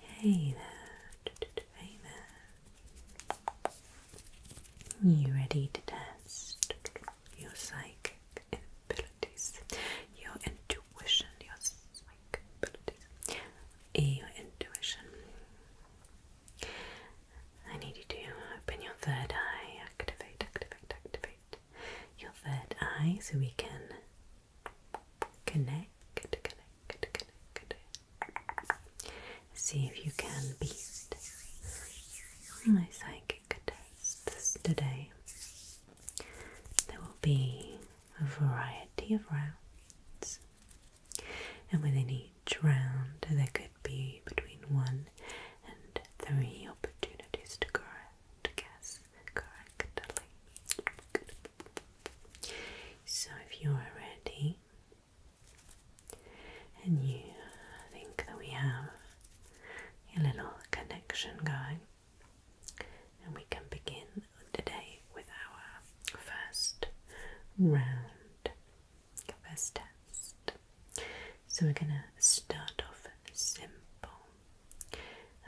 hey there. You ready to test your psychic abilities, your intuition, your psychic abilities, your intuition? I need you to open your third eye, activate, activate, activate your third eye so we can Connect, connect, connect. See if you can beat my psychic tests today. There will be a variety of rounds, and within each round, there could be between one and three opportunities to guess correctly. So, if you are ready and you think that we have a little connection going, and we can begin today with our first round, first test. So, we're going to start off simple.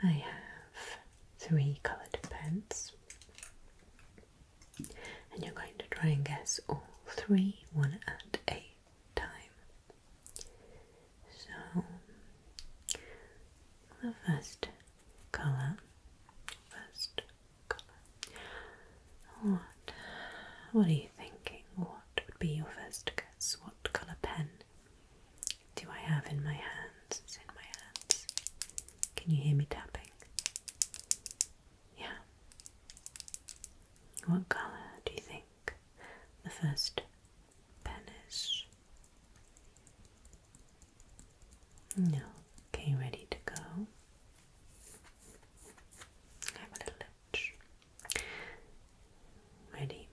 I have three colored pens, and you're going to try and guess all three, one at a time. So, the first color, first color. What? What are you thinking? What would be your first guess? What color pen do I have in my hands? in my hands. Can you hear me tapping? Yeah. What colour do you think the first pen is? No. Okay, ready to go. have a little itch. Ready?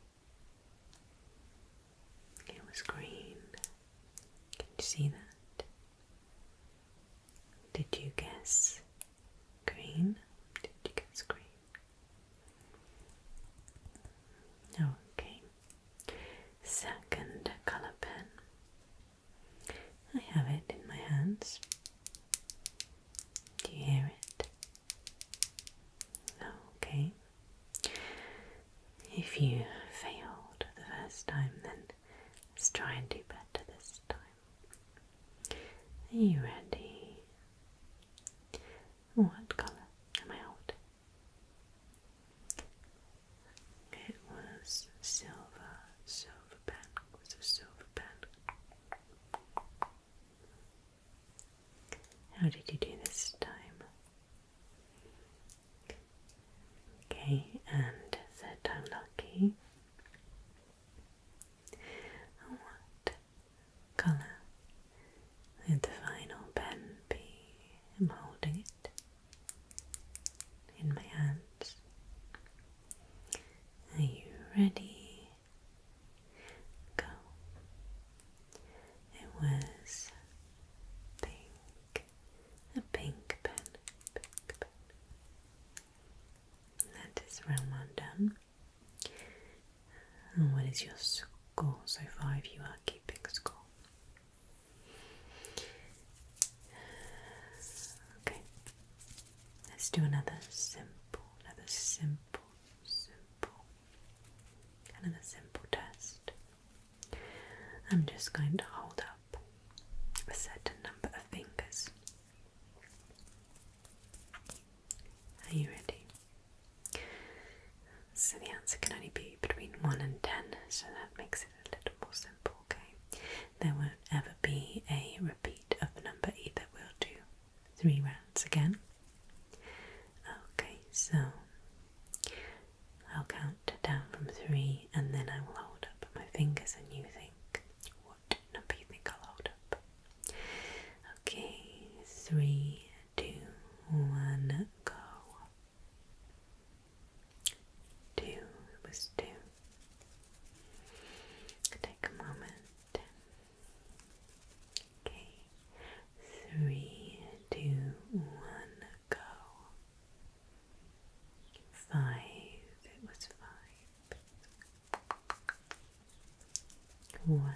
It was green. Can you see that? Did you guess green? Did you guess green? Okay. Second color pen. I have it in my hands. Do you hear it? Okay. If you failed the first time, then let's try and do better this time. Are you ready? What colour am I holding? It was silver, silver pen. It was a silver pen. How did you do this time? Okay, and third time lucky. what colour would the final pen be? am holding it in my hands. Are you ready? Go. It was pink, a pink pen, That is round one done. And what is your score so far if you are keeping score? Okay, let's do another simple, another simple, simple and simple test, I'm just going to hold up a certain number of fingers. Are you ready? So the answer can only be between 1 and 10, so that makes it a little more simple, okay? There won't ever be a repeat of the number either. We'll do three rounds again. Okay, so I'll count down from three and then I will hold up my fingers and you think what number you think I'll hold up. Okay, three, two, one, go. Two, it was two. Take a moment. Okay, three, two, one, go. Five, it was five. One,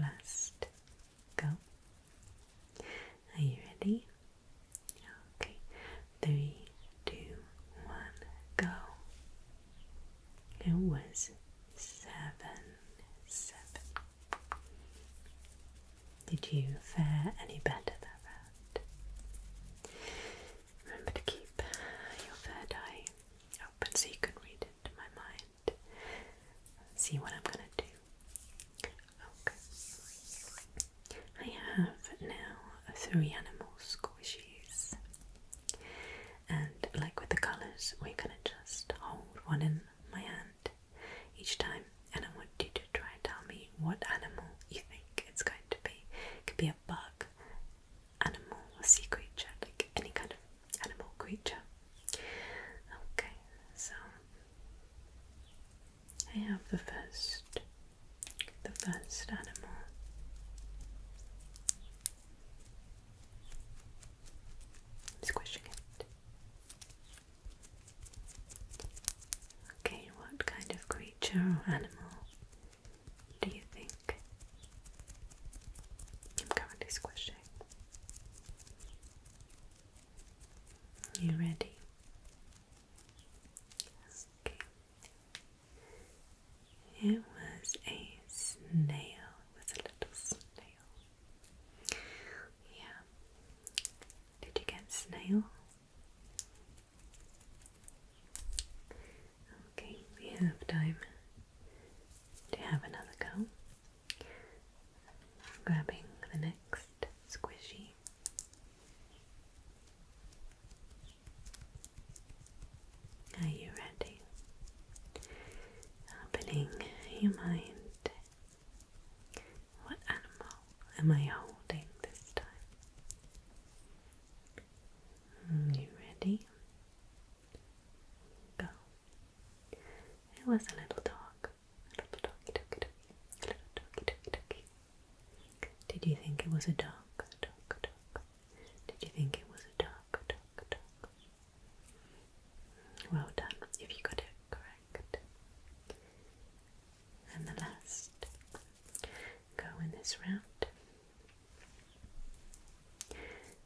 last, go. Are you ready? Okay, three, two, one, go. It was seven, seven. Did you fare any better that round? Remember to keep your third eye open so you can read into my mind. See what I'm gonna do. Okay. I have now three animal squishies. And like with the colours, we can just hold one in my hand each time, and I want you to try and tell me what animal you think it's going to be. It could be a bug, animal, a sea creature, like any kind of animal creature. Okay, so I have the first, the first animal. squishing it. Okay, what kind of creature or animal do you think? I'm currently squishing. You ready? Okay. It was a snail. It was a little snail. Yeah. Did you get snail? Okay, we have time to have another go. Grabbing the next squishy. Are you ready? Opening your mind what animal am I holding this time? Hmm, you ready? Go. It was a little dog. A little doggy doggy doggy. A little doggy doggy doggy. Did you think it was a dog? Dog dog. Did you think it was a dog? Dog dog. Well done if you got it correct. And the last go in this round.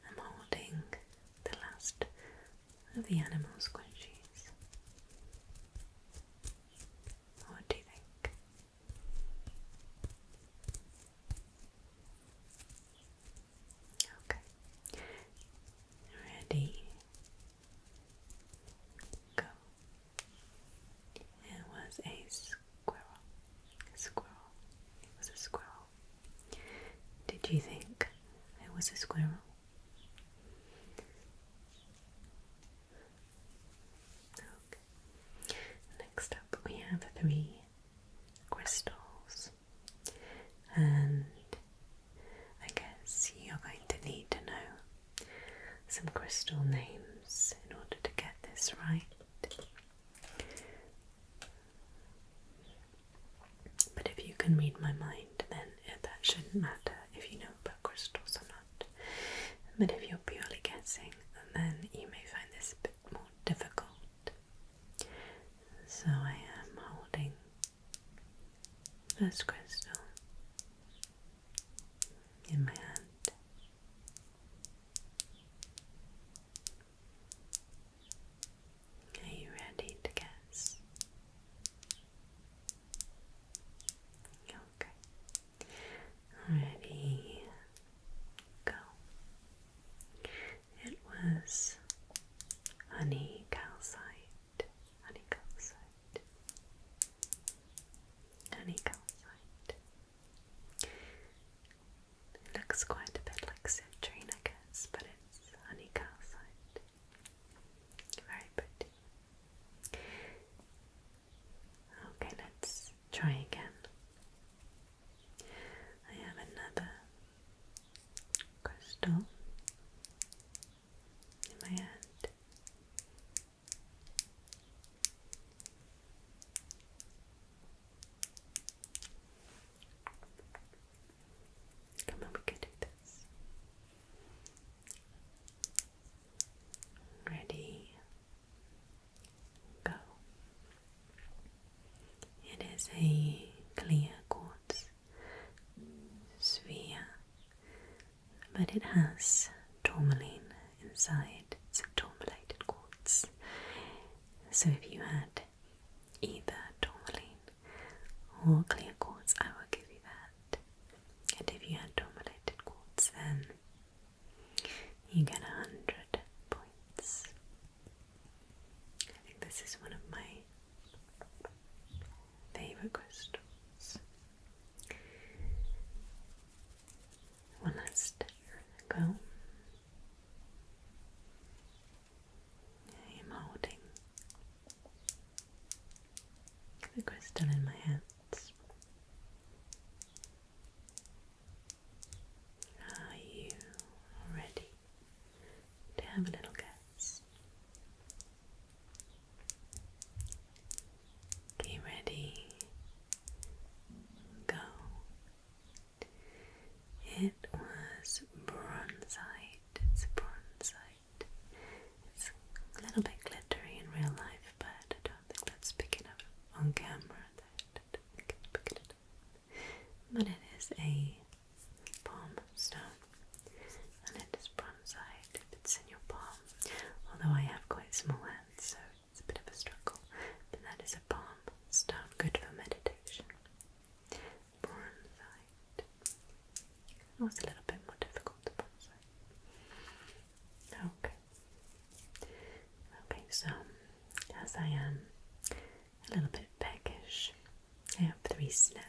I'm holding the last of the animal squishies. What do you think? Okay. Ready? Go. It was a squirrel. squirrel. It was a squirrel. Did you think it was a squirrel? Okay. Next up, we have three crystals and I guess you're going to need to know some crystal names in order to get this right. But if you can read my mind, then that shouldn't matter if you know about crystals or not. But if you're purely guessing, then you may find this a bit more difficult. So I am holding this crystal in my hand. Are you ready to guess? Okay. Ready, go. It was honey calcite, honey calcite, honey calcite. It looks quite a bit like citrine, I guess, but it's honey calcite. Very pretty. Okay, let's try again. I have another crystal in my hand. Come on, we can do this. Ready, go. It is a clear quartz sphere, but it has tourmaline inside. It's a tourmalated quartz. So if you had either tourmaline or clear quartz, I will give you that. And if you had tourmalated quartz, then you get a hundred points. I think this is one of my favorite crystals. One last go. I am holding the crystal in my hands. Are you ready? to have a little guess. Okay, ready, go. It was bronzite, it's bronzite. It's a little bit glittery in real life, but I don't think that's picking up on camera that I it but it is a palm stone and it is bronzite if it's in your palm. Although I have quite small hands, so it's a bit of a struggle. But that is a palm stone, good for meditation. Bronzite. was a little bit more difficult to bronzite. Okay. Okay, so as I am a little bit peckish. I have three snacks.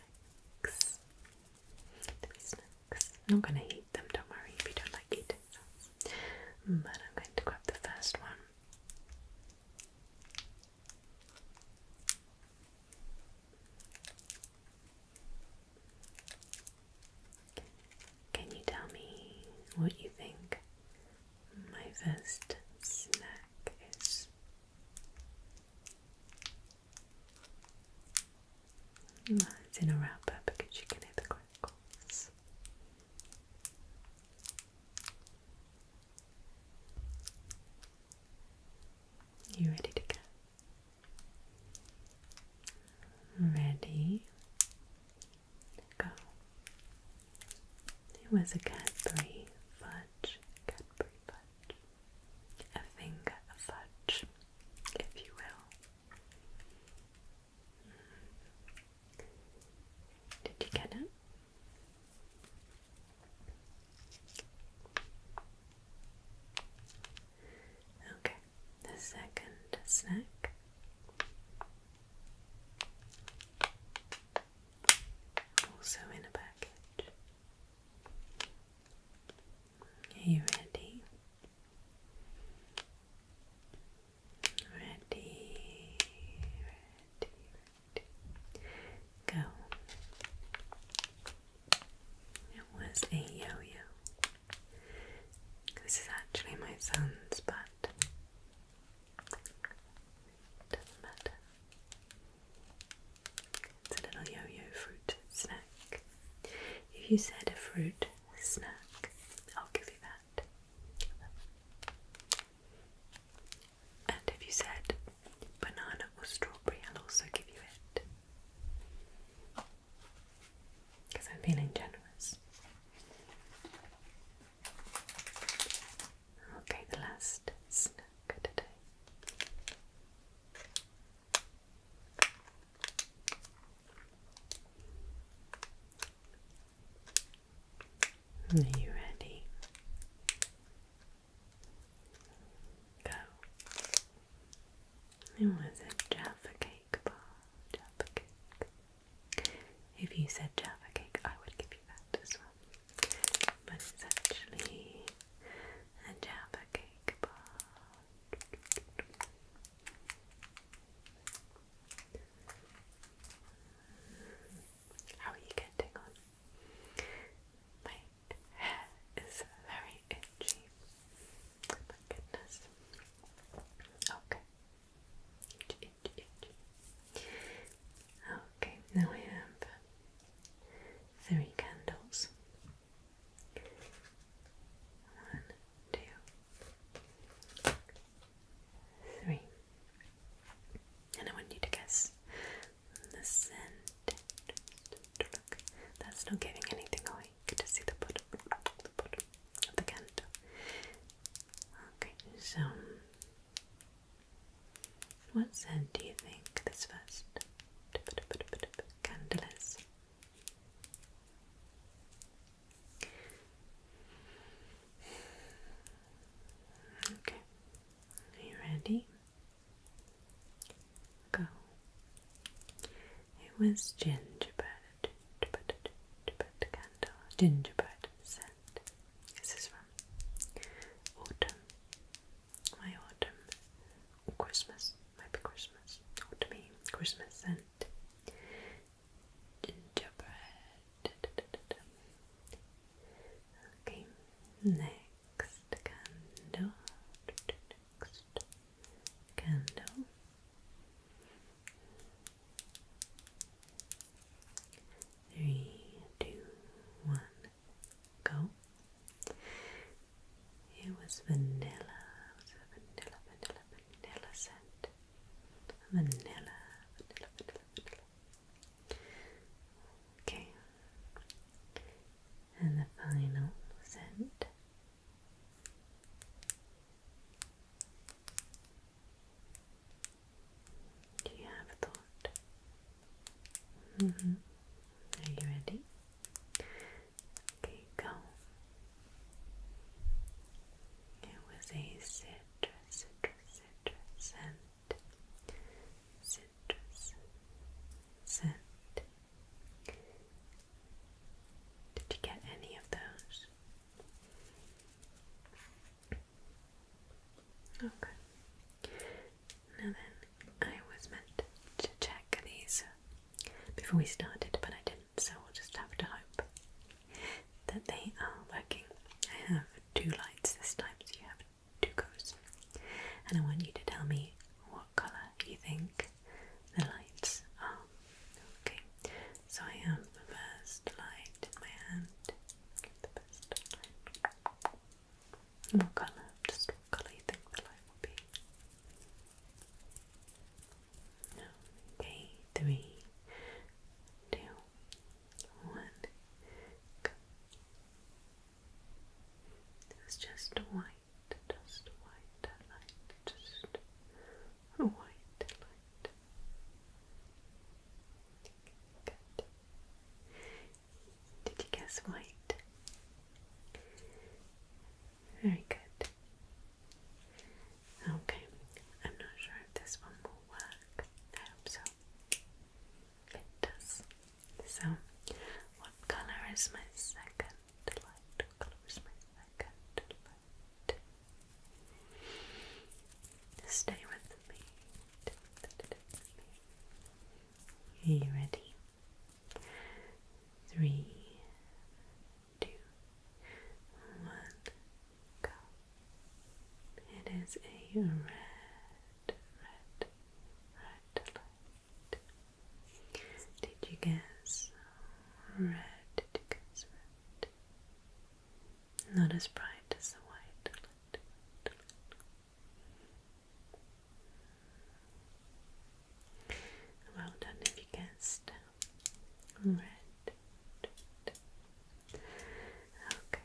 Three snacks. I'm not gonna eat them, don't worry if you don't like it. But I'm going to grab the first one. Can you tell me what you think my first snack is? It's in a wrapper because you can hear the crackles. You ready to go? Ready? Go. It was a Cadbury fudge, Cadbury fudge fudge, a fudge, if you will. Mm. Did you get it? Okay, the second snack also in a package. Are you ready? Ready, ready, Go. It was a yo-yo. This is actually my son's, but doesn't matter. It's a little yo-yo fruit snack. If you said a fruit snack, I'll give you that. And if you said banana or strawberry, I'll also give you it. Because I'm feeling generous. Okay, the last snack today. Are you ready? Go. It was a Jaffa cake bar. Jaffa cake. If you said Jaffa cake, I would give you that as well but it's actually a Java cake bar. How are you getting on? My hair is very itchy. my goodness. Okay. Itchy, itchy, itchy. Okay, now I have three candles. One, two, three. And I want you to guess the scent. that's not giving anything away. You can see the bottom of the candle. Okay, so what scent do you think this first? Candle is. Okay. Are you ready? Go. It was gingerbread. Gingerbread scent brand. This is from Autumn, my autumn, Christmas, might Christmas, or Christmas scent. Gingerbread. Okay, next candle. Next candle. Three, two, one go. It was vanilla, it was a vanilla, vanilla, vanilla scent. Vanilla, vanilla, vanilla, Okay. And the final scent. Do you have thought? Mm-hmm. Are you ready? Okay, go. It was a citrus, citrus, citrus scent. Citrus scent. Did you get any of those? Okay. Now then, I was meant to check these before we started, but I didn't, so we'll just have to hope that they are working. I have two lights this time, so you have two goes. And I want you to tell me what colour you think the lights are. Okay, so I have the first light in my hand. The first light. What colour? Just what colour you think the light will be? Okay, three, two, one. Go. It's just white, just white light, just white light. Good. Did you guess white? Very good. Okay, I'm not sure if this one will work. I hope so. It does. So, what color is my second light? What my second light? Stay with me. Are you ready? Three, two, one, go. It is a red, red, red light. Did you guess red? Did you guess red? Not as bright as the white. Light, well done if you guessed. Red. Okay.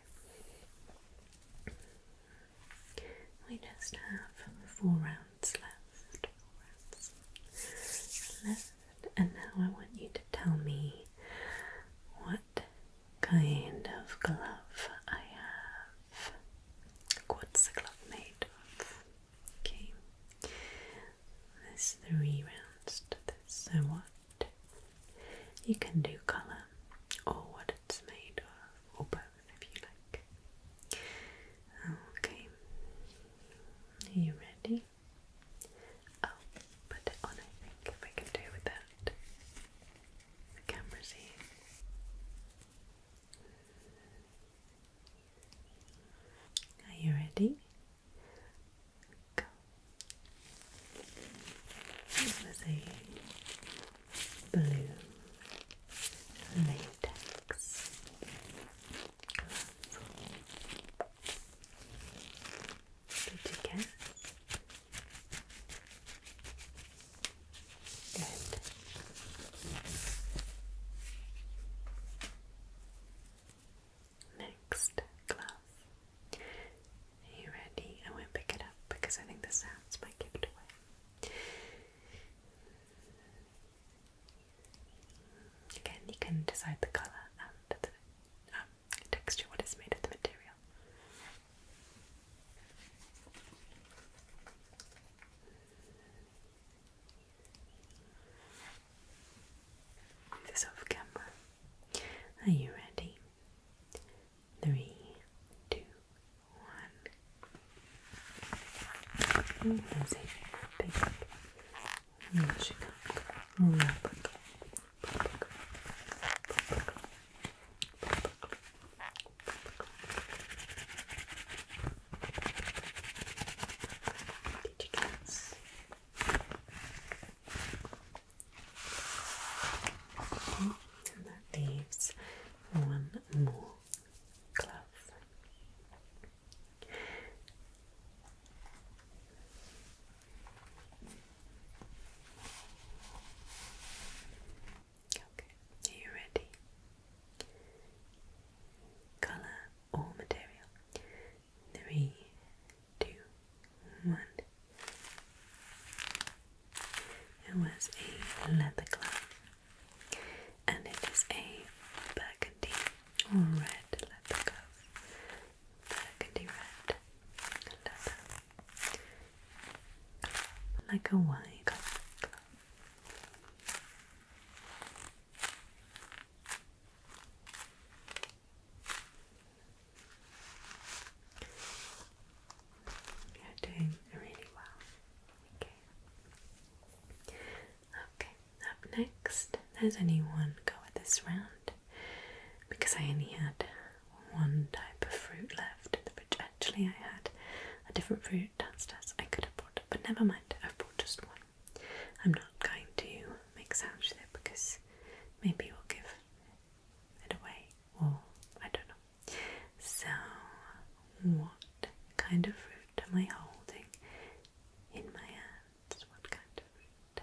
We just have four rounds left. Four rounds left. And now I want you to tell me what kind of glove I have. What's the glove made of? Okay. There's three rounds to this. So what? You can do colour or what it's made of, or both if you like. Okay. Are you ready? I'll put it on, I think, if I can do with that the camera see. Are you ready? Go. This was a blue latex glove. Did you guess? Good. Next glove. you ready? I will pick it up because I think the sounds might give Again, you can decide the colour and the um, texture, what made of the material. This off camera. Are you ready? Three, two, one. That's it. Big. Magic. Rubber. Rubber. Rubber. Digicats. Okay, and that leaves one more glove. Okay, are you ready? Colour or material? Three, two, one. It was a leather glove, and it is a burgundy or red leather glove. Burgundy red leather like a wine You're doing really well. Okay. Okay. Up next, there's only go this round because I only one type of fruit left in the fridge. Actually, I had a different fruit downstairs I could have bought, but never mind, I've bought just one. I'm not going to make sandwich there because maybe we'll give it away, or I don't know. So, what kind of fruit am I holding in my hands? What kind of fruit?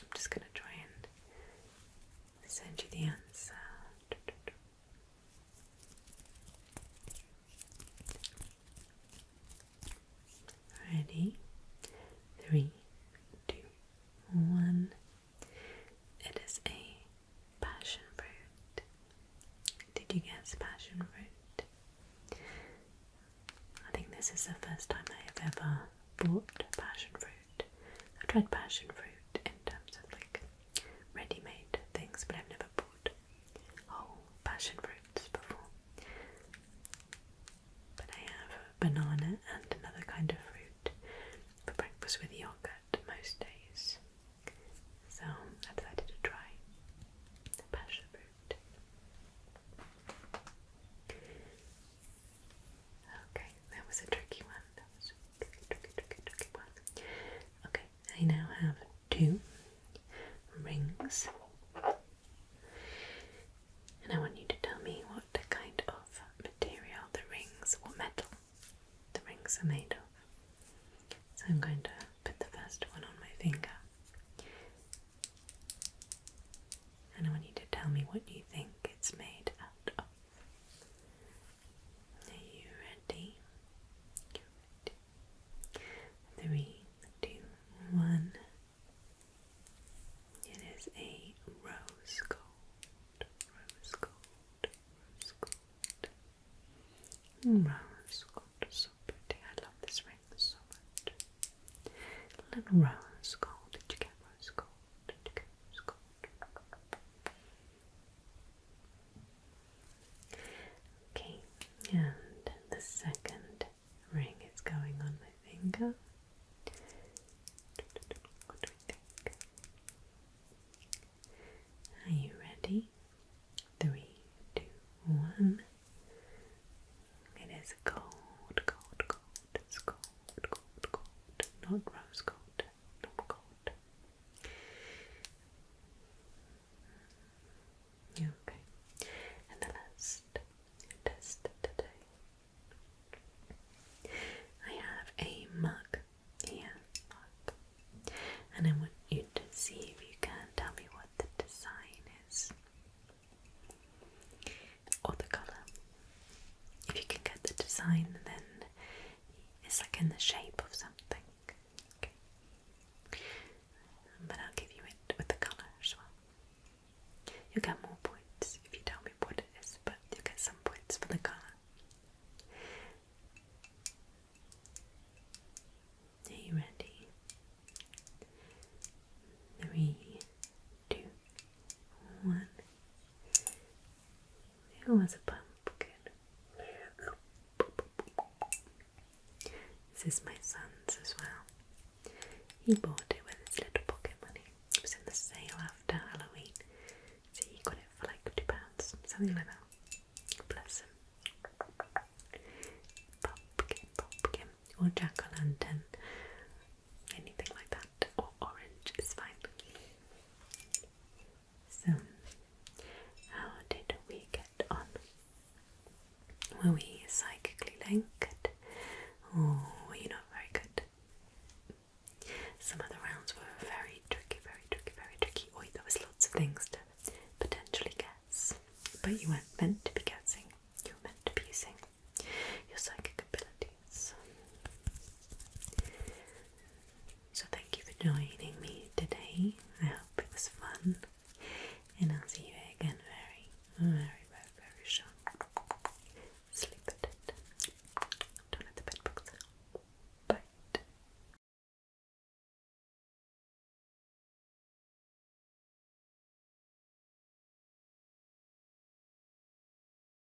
I'm just gonna try and send you the answer. Ready? Three, two, one. It is a passion fruit. Did you guess passion fruit? I think this is the first time I have ever bought passion fruit. I tried passion fruit in terms of like ready-made things, but I've never bought whole passion fruits before. But I have banana and another kind of fruit for breakfast with yogurt most days. So I decided to try passion fruit. Okay, that was a tricky one. That was Okay, I now have two rings, and I want you to tell me what kind of material the rings, what metal the rings are made of. So I'm going to put the first one on my finger, and I want you to tell me what you think it's made out of. Are you ready? Three, two, one. It is a rose gold, rose gold, rose gold, mm, rose gold. So pretty. I love this ring so much. Little rose gold. Did you get rose gold? Okay, and the second ring is going on my finger. Are you ready? Three, two, one. It is cold, cold, cold. It's cold, cold, Not rose gold not cold. Yeah, okay. And the last test today. I have a mug here, And I want you to see if you can tell me what the design is. Or the colour. If you can get the design, then it's like in the shape of something. But I'll give you it with the colour as well. You'll get more points if you tell me what it is, but you'll get some points for the colour. Are you ready? Three, two, one. It was a pumpkin. This is my son's as well. He bought it with his little pocket money. It was in the sale after Halloween. So he got it for like two pounds, something like that. Bless him. Pumpkin, pumpkin, or jack-o'-lantern, anything like that, or orange is fine. So, how did we get on? Were we psychically linked? Or were you not very good? Some of rounds were very tricky, very tricky, very tricky. Or there was lots of things to potentially guess. But you weren't meant to be guessing. You were meant to be using your psychic ability so, thank you for joining me today. I hope it was fun, and I'll see you again very, very, very, very soon. Sleep it. Don't let the bed bugs